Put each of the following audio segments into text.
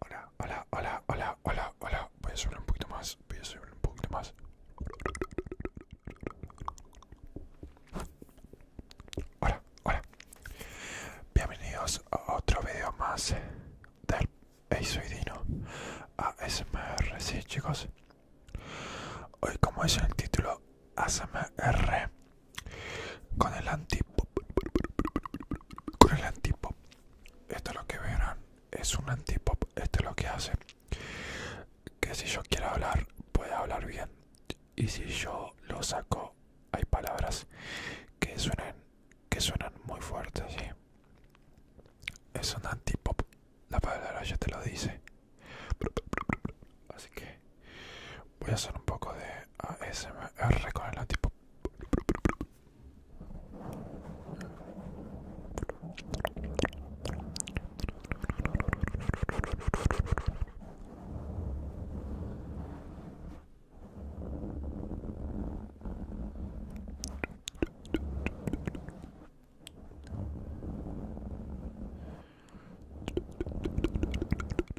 Hola, hola, hola, hola, hola, hola. Voy a subir un poquito más. Voy a subir un poquito más. Hola, hola. Bienvenidos a otro video más del eisoidino ASMR. Sí, chicos. Hoy, como es el título ASMR, con el antipop con el antipop esto es lo que verán es un antipop esto es lo que hace que si yo quiero hablar puede hablar bien y si yo lo saco hay palabras que suenan que suenan muy fuertes es un antipop la palabra ya te lo dice así que Voy a hacer un poco de ASMR con el tipo.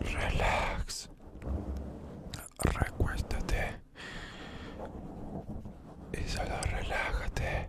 Relax, recuéstate y solo relájate.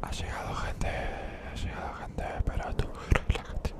Ha llegado gente, ha llegado gente, pero tú relájate.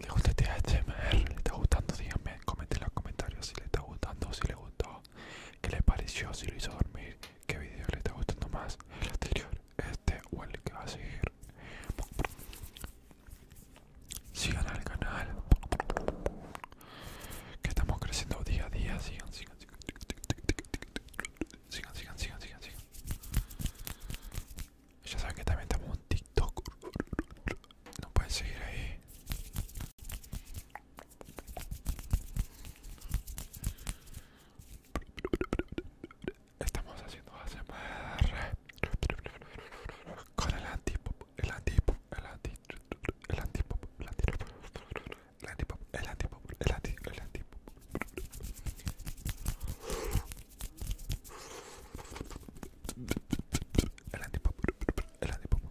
¿Le gusta este ASMR? ¿Le está gustando? Díganme, comenten en los comentarios si le está gustando, si le gustó, qué le pareció, si lo hizo dormir, qué video le está gustando más, el anterior, este o el que va a seguir. Sigan al canal, que estamos creciendo día a día, sigan, sigan, sigan, sigan, sigan, sigan. sigan. Ya saben que también tenemos un TikTok. No pueden seguir ahí. Estamos haciendo ASMR con el antipop, el antipop, el antipop, el antipop, el antipop, el antipop, el antipop, el antipop, el antipop. El antipop. El antipop.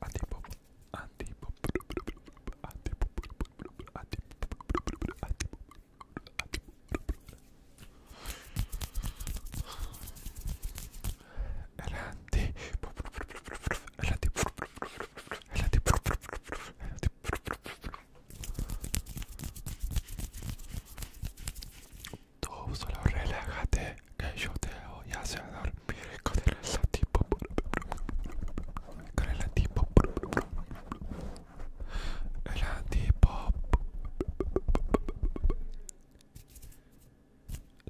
Antipop. Antipop. Antipop. Antipop. Antipop. El el el el el Tú solo relájate que yo te voy a hacer dormir con el tipo Con el tipo El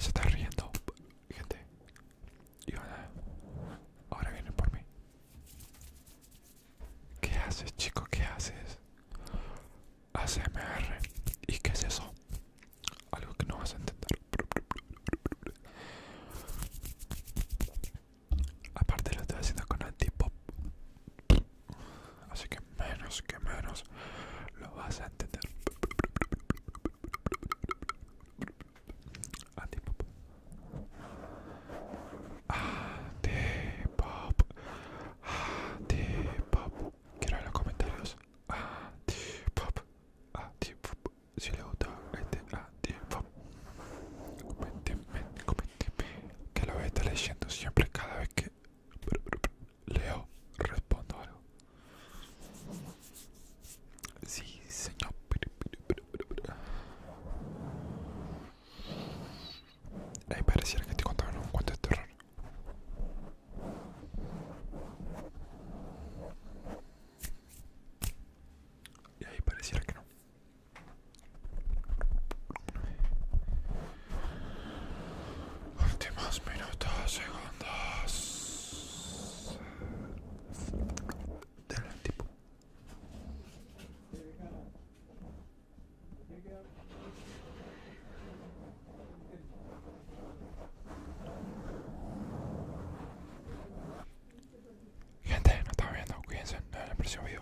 Se está riendo, gente Y ahora, ahora vienen por mí ¿Qué haces, chico? ¿Qué haces? ACMR ¿Y qué es eso? Algo que no vas a entender. Aparte lo estoy haciendo con antipop. Así que menos que menos lo vas a entender. Antipop pop Antipop, pop Quiero ver los comentarios. Pop Antipop, Pop Si le gusta este Pop coménteme, coménteme. Que lo voy a estar leyendo siempre cada vez que leo, respondo algo. Sí, señor. Ahí pareciera que te contaban un cuento de terror. Y ahí pareciera que no. Últimos minutos, segundos. Del tipo. Gente, no está viendo, cuídense, no en el próximo